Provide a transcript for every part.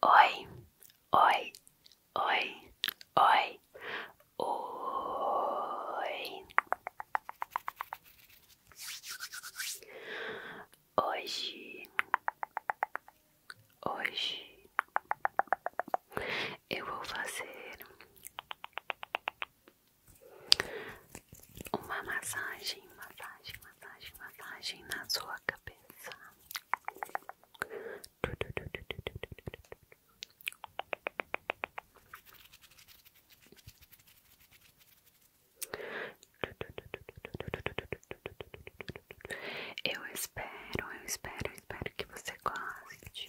Oi, oi, oi, oi, oi. Hoje, hoje eu vou fazer uma massagem, massagem, massagem, massagem na sua cabeça. Eu espero, eu espero, eu espero que você goste.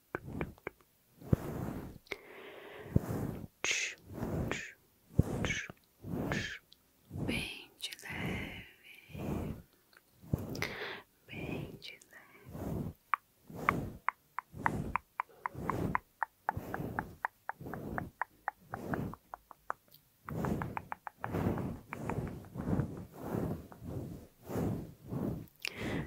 Bem de leve, bem de leve.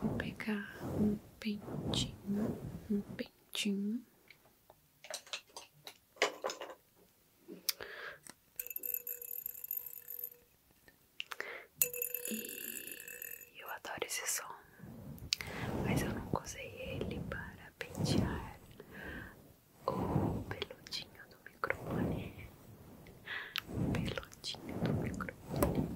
Vou pegar um pentinho, um pentinho. E eu adoro esse som, mas eu não usei ele para pentear o peludinho do microfone. Peludinho do microfone.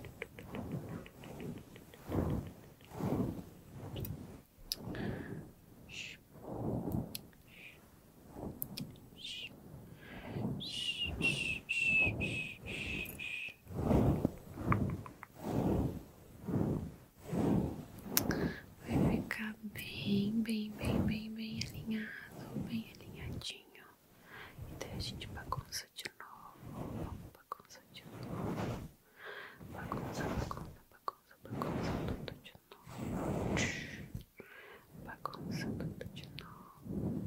Vai ficar bem, bem, bem, bem, bem alinhado, bem alinhadinho. E então, daí a gente bagunça de novo. Vamos bagunça de novo. Bagunça, bagunça, bagunça, bagunça tudo de novo. Bagunça tudo de novo.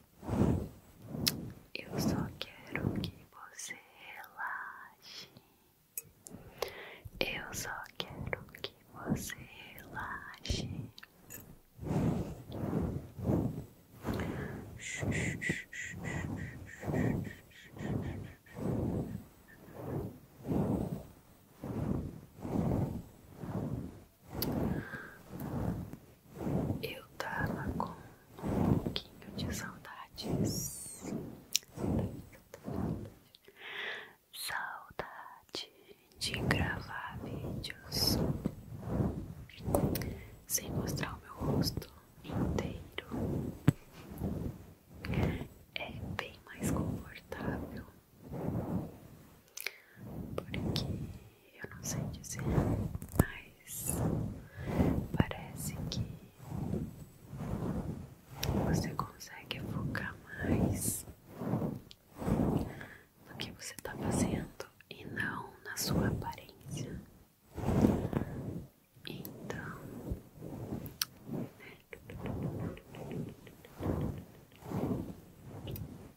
Eu só quero que você relaxe. Eu só quero que você relaxe eu tava com um pouquinho de saudades. Saudade de gravar vídeos sem mostrar o meu rosto inteiro. É bem mais confortável porque eu não sei dizer, mas parece que você consegue focar mais no que você está fazendo e não na sua aparência. Então, né?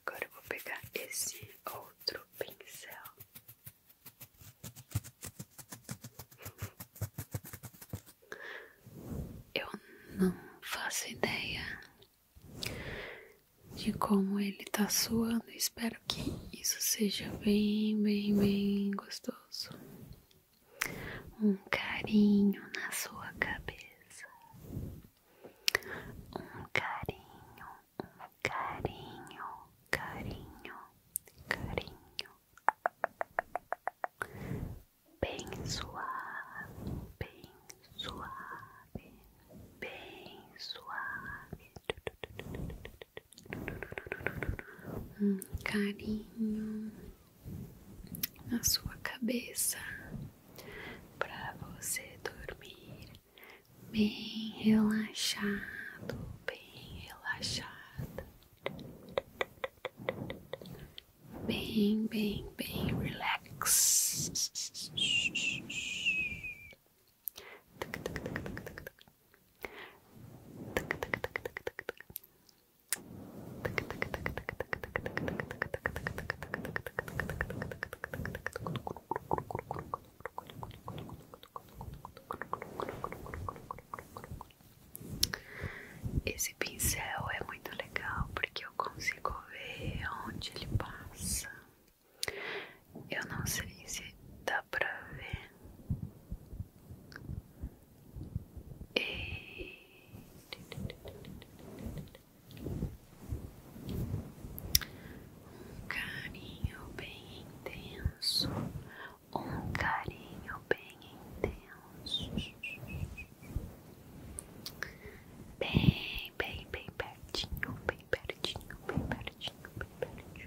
Agora eu vou pegar esse outro pincel. Eu não faço ideia de como ele tá suando. Espero que isso seja bem, bem, bem gostoso. Um carinho na sua cabeça. Um carinho, um carinho, carinho, carinho. Bem suave, bem suave, bem suave. Um carinho na sua cabeça para você dormir bem relaxado, bem relaxado, bem, bem, bem relax. Esse pincel é muito legal porque eu consigo ver onde ele passa. Eu não sei se dá pra ver. Ele um carinho bem intenso, um carinho bem intenso, bem, bem, bem pertinho, bem pertinho, bem pertinho, bem pertinho.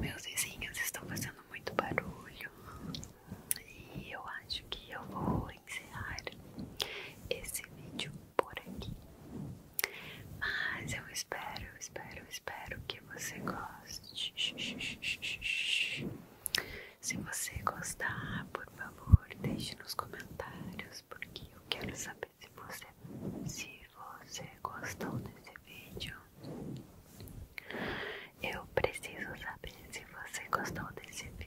Meus vizinhos estão fazendo muito barulho e eu acho que eu vou encerrar esse vídeo por aqui. Mas eu espero, eu espero, eu espero que você goste. Se você gostar, por favor, deixe nos comentários porque eu quero saber se você se você gostou desse vídeo eu preciso saber se você gostou desse vídeo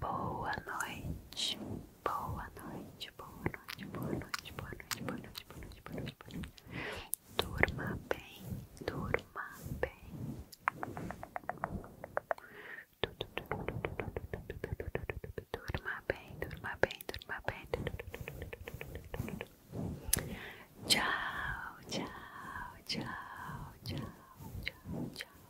Boa noite. Boa noite, boa noite, boa noite, boa noite, boa noite, boa noite, boa noite, boa noite. Durma bem, durma bem. Durma bem, durma bem, durma bem. Tchau, tchau, tchau, tchau, tchau, tchau.